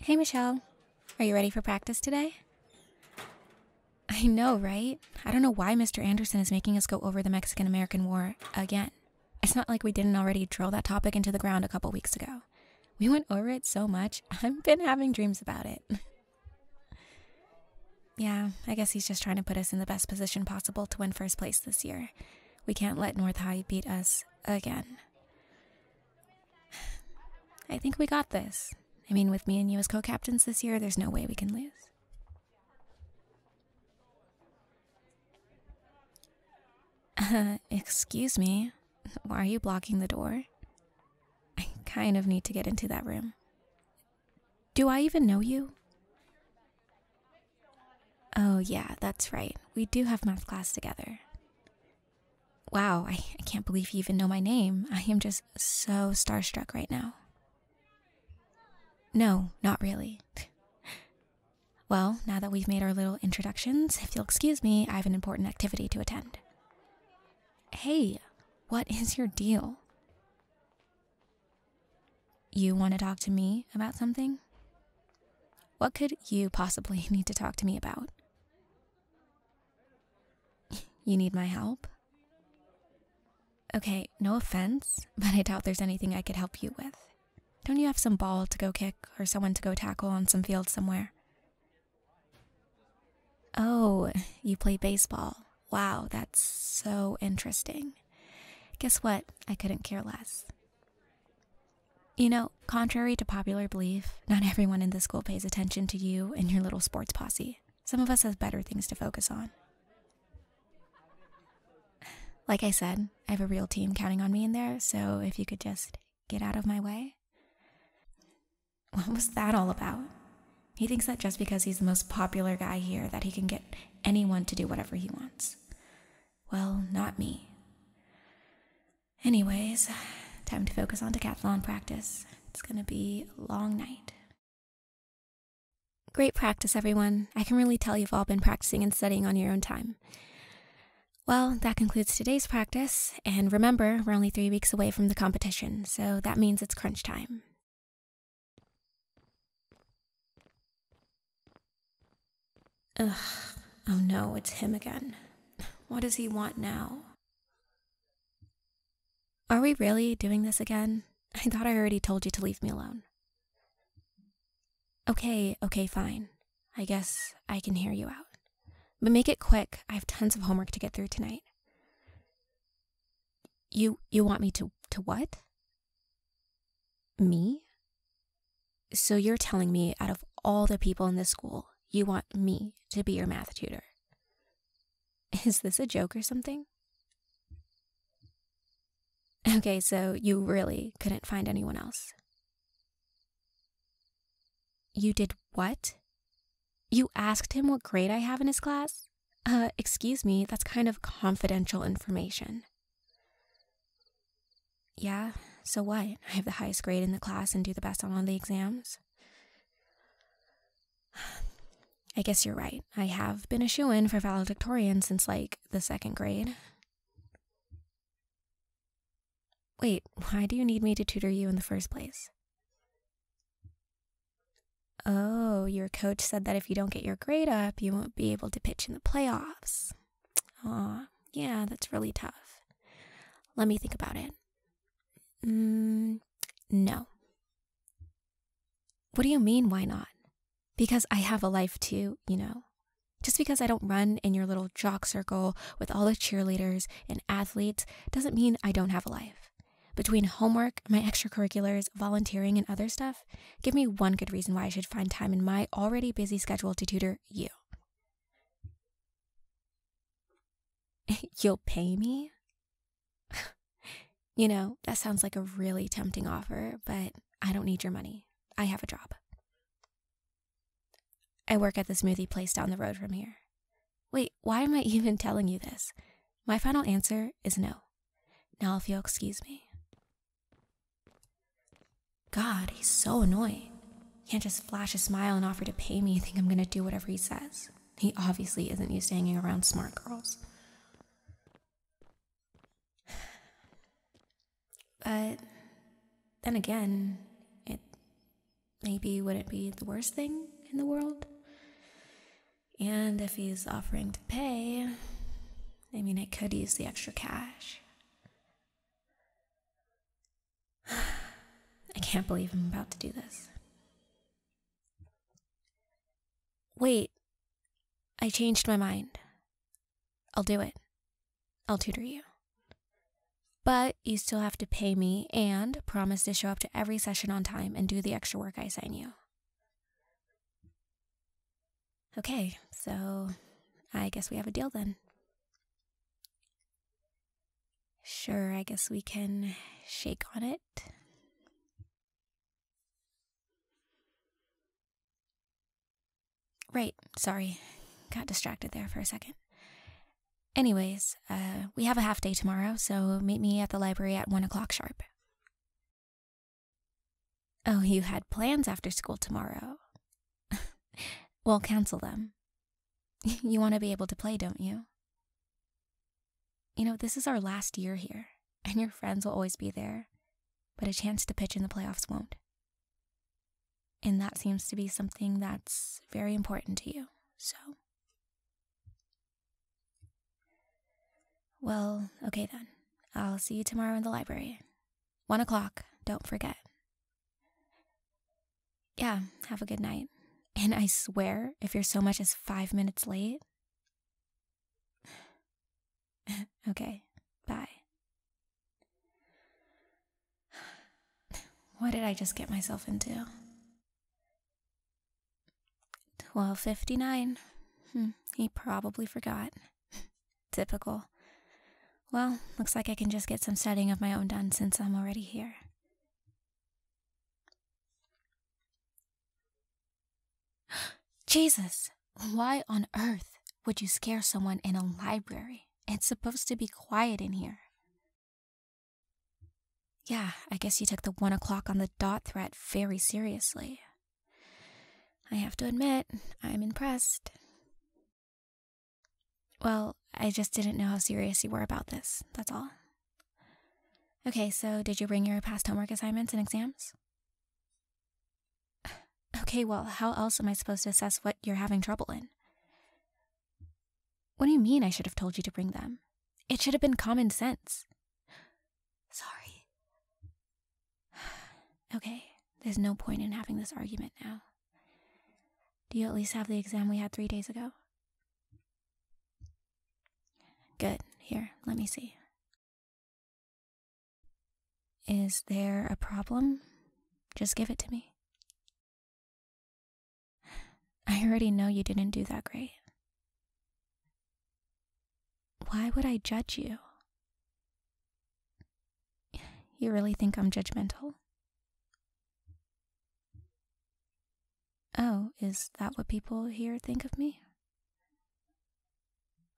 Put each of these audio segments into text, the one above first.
Hey, Michelle. Are you ready for practice today? I know, right? I don't know why Mr. Anderson is making us go over the Mexican American War again. It's not like we didn't already drill that topic into the ground a couple weeks ago. We went over it so much, I've been having dreams about it. yeah, I guess he's just trying to put us in the best position possible to win first place this year. We can't let North High beat us again. I think we got this. I mean, with me and you as co captains this year, there's no way we can lose. excuse me, why are you blocking the door? I kind of need to get into that room. Do I even know you? Oh, yeah, that's right. We do have math class together. Wow, I, can't believe you even know my name. I am just so starstruck right now. No, not really. well, now that we've made our little introductions, if you'll excuse me, I have an important activity to attend. Hey, what is your deal? You want to talk to me about something? What could you possibly need to talk to me about? You need my help? Okay, no offense, but I doubt there's anything I could help you with. Don't you have some ball to go kick or someone to go tackle on some field somewhere? Oh, you play baseball. Wow, that's so interesting. Guess what? I couldn't care less. You know, contrary to popular belief, not everyone in the school pays attention to you and your little sports posse. Some of us have better things to focus on. Like I said, I have a real team counting on me in there, so if you could just get out of my way. What was that all about? He thinks that just because he's the most popular guy here that he can get anyone to do whatever he wants well, not me. Anyways, time to focus on decathlon practice. It's gonna be a long night. Great practice, everyone. I can really tell you've all been practicing and studying on your own time. Well, that concludes today's practice, and remember, we're only three weeks away from the competition, so that means it's crunch time. Ugh. Oh no, it's him again. What does he want now? Are we really doing this again? I thought I already told you to leave me alone. Okay, okay, fine. I guess I can hear you out. But make it quick. I have tons of homework to get through tonight. You you want me to to what? Me? So you're telling me, out of all the people in this school, you want me to be your math tutor? Is this a joke or something? Okay, so you really couldn't find anyone else. You did what? You asked him what grade I have in his class? Uh, excuse me, that's kind of confidential information. Yeah, so what? I have the highest grade in the class and do the best on all the exams? I guess you're right. I have been a shoe in for valedictorian since like the second grade. Wait, why do you need me to tutor you in the first place? Oh, your coach said that if you don't get your grade up, you won't be able to pitch in the playoffs. Aw, yeah, that's really tough. Let me think about it. Mm, no. What do you mean, why not? Because I have a life too, you know. Just because I don't run in your little jock circle with all the cheerleaders and athletes doesn't mean I don't have a life. Between homework, my extracurriculars, volunteering, and other stuff, Give me one good reason why I should find time in my already busy schedule to tutor you. You'll pay me? you know, that sounds like a really tempting offer, but I don't need your money. I have a job. I work at the smoothie place down the road from here. Wait, why am I even telling you this? My final answer is no. Now, if you'll excuse me. God, he's so annoying. can't just flash a smile and offer to pay me think I'm gonna do whatever he says. He obviously isn't used to hanging around smart girls. But then again, it maybe wouldn't be the worst thing in the world. And if he's offering to pay, I mean, I could use the extra cash. I can't believe I'm about to do this. Wait, I changed my mind. I'll do it. I'll tutor you. But you still have to pay me and promise to show up to every session on time and do the extra work I assign you. Okay, so I guess we have a deal then. Sure, I guess we can shake on it. Right, sorry. Got distracted there for a second. Anyways, uh, we have a half day tomorrow, so meet me at the library at 1 o'clock sharp. Oh, you had plans after school tomorrow. We'll cancel them. you want to be able to play, don't you? You know, this is our last year here, and your friends will always be there, but a chance to pitch in the playoffs won't. And that seems to be something that's very important to you, so. Well, okay then. I'll see you tomorrow in the library. One o'clock, don't forget. Yeah, have a good night. And I swear, if you're so much as five minutes late. okay, bye. What did I just get myself into? Twelve fifty nine. Hmm, he probably forgot. Typical. Well, looks like I can just get some studying of my own done since I'm already here. Jesus, why on earth would you scare someone in a library? It's supposed to be quiet in here. Yeah, I guess you took the one o'clock on the dot threat very seriously. I have to admit, I'm impressed. Well, I just didn't know how serious you were about this, that's all. Okay, so did you bring your past homework assignments and exams? Okay, well, how else am I supposed to assess what you're having trouble in? What do you mean I should have told you to bring them? It should have been common sense. Sorry. okay, there's no point in having this argument now. Do you at least have the exam we had three days ago? Good. Here, let me see. Is there a problem? Just give it to me. I already know you didn't do that great. Why would I judge you? You really think I'm judgmental? Oh, is that what people here think of me?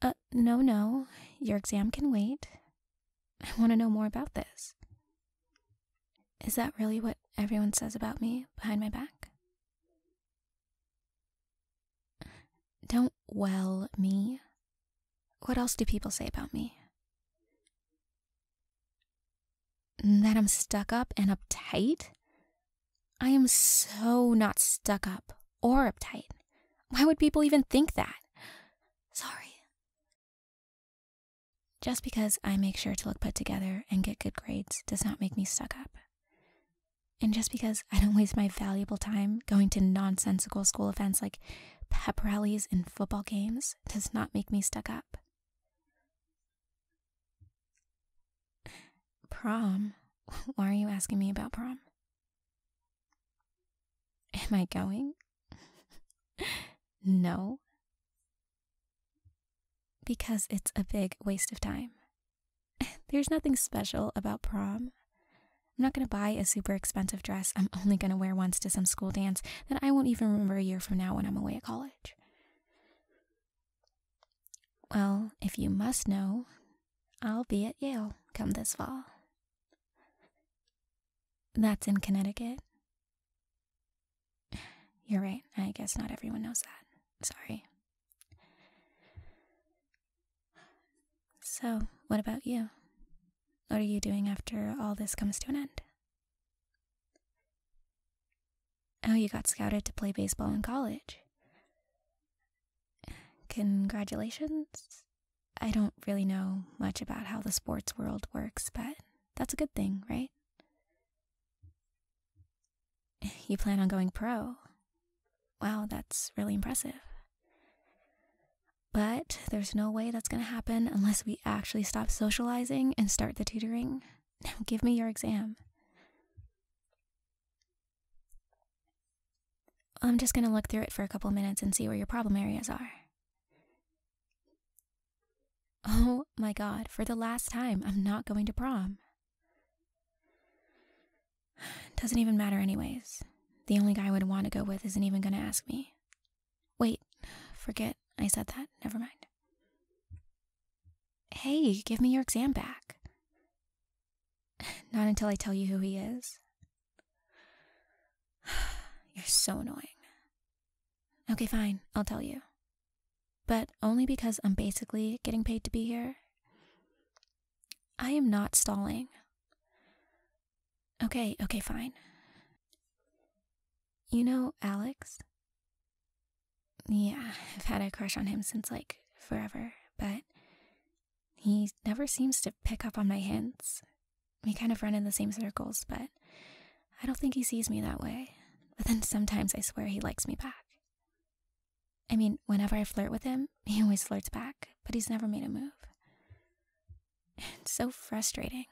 Uh, no, no. Your exam can wait. I want to know more about this. Is that really what everyone says about me behind my back? Don't well me. What else do people say about me? That I'm stuck up and uptight? I am so not stuck up or uptight. Why would people even think that? Sorry. Just because I make sure to look put together and get good grades does not make me stuck up. And just because I don't waste my valuable time going to nonsensical school events like pep rallies and football games does not make me stuck up. Prom? Why are you asking me about prom? Am I going? no. Because it's a big waste of time There's nothing special about prom. I'm not going to buy a super expensive dress I'm only going to wear once to some school dance that I won't even remember a year from now when I'm away at college. Well, if you must know, I'll be at Yale come this fall. That's in Connecticut. You're right. I guess not everyone knows that. Sorry. So, what about you? What are you doing after all this comes to an end? Oh, you got scouted to play baseball in college. Congratulations. I don't really know much about how the sports world works, but that's a good thing, right? You plan on going pro? Wow, that's really impressive. But there's no way that's going to happen unless we actually stop socializing and start the tutoring. Now give me your exam. I'm just going to look through it for a couple minutes and see where your problem areas are. Oh my god, for the last time, I'm not going to prom. Doesn't even matter, anyways. The only guy I would want to go with isn't even gonna ask me. Wait, forget I said that. Never mind. Hey, give me your exam back. Not until I tell you who he is. You're so annoying. Okay, fine. I'll tell you but only because I'm basically getting paid to be here. I am not stalling. Okay, okay, fine. You know Alex? Yeah, I've had a crush on him since like forever, but he never seems to pick up on my hints. We kind of run in the same circles, but I don't think he sees me that way. But then sometimes I swear he likes me back. I mean, whenever I flirt with him, he always flirts back, but he's never made a move. It's so frustrating.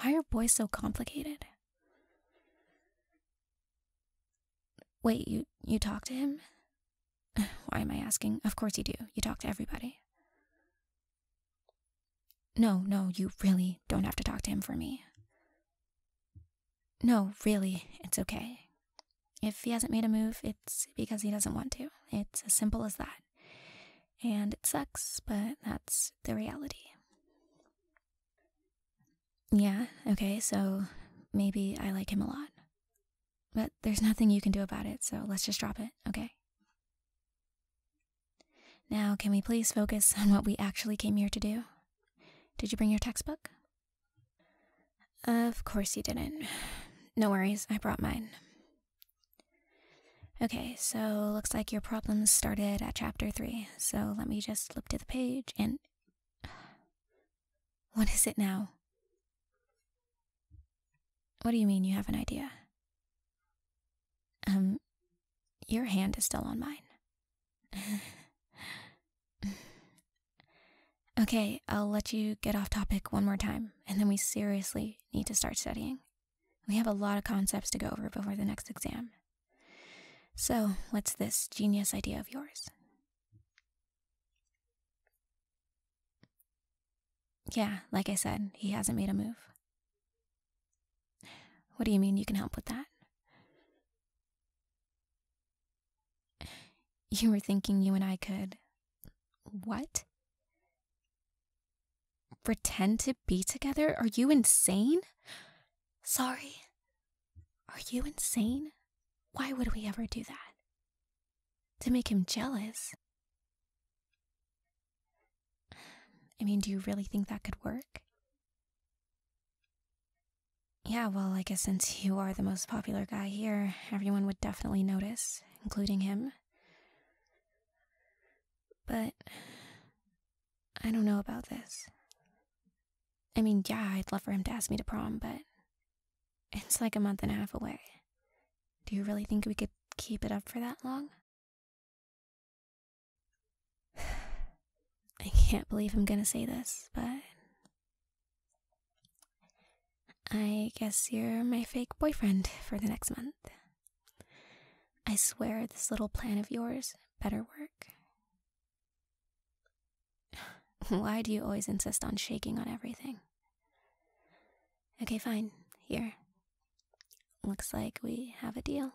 Why are boys so complicated? Wait, you you talk to him? Why am I asking? Of course you do. You talk to everybody. No, no, you really don't have to talk to him for me. No, really, it's okay. If he hasn't made a move, it's because he doesn't want to. It's as simple as that. And it sucks, but that's the reality. Yeah, okay, so maybe I like him a lot. But there's nothing you can do about it, so let's just drop it, okay? Now, can we please focus on what we actually came here to do? Did you bring your textbook? Of course you didn't. No worries, I brought mine. Okay, so looks like your problems started at chapter 3. So let me just flip to the page and. What is it now? What do you mean you have an idea? Um, your hand is still on mine. okay, I'll let you get off topic one more time, and then we seriously need to start studying. We have a lot of concepts to go over before the next exam. So, what's this genius idea of yours? Yeah, like I said, he hasn't made a move. What do you mean you can help with that? You were thinking you and I could. What? Pretend to be together? Are you insane? Sorry. Are you insane? Why would we ever do that? To make him jealous? I mean, do you really think that could work? Yeah, well, I guess since you are the most popular guy here, everyone would definitely notice, including him. But I don't know about this. I mean, yeah, I'd love for him to ask me to prom, but it's like a month and a half away. Do you really think we could keep it up for that long? I can't believe I'm gonna say this, but. I guess you're my fake boyfriend for the next month. I swear this little plan of yours better work. Why do you always insist on shaking on everything? Okay, fine. Here. Looks like we have a deal.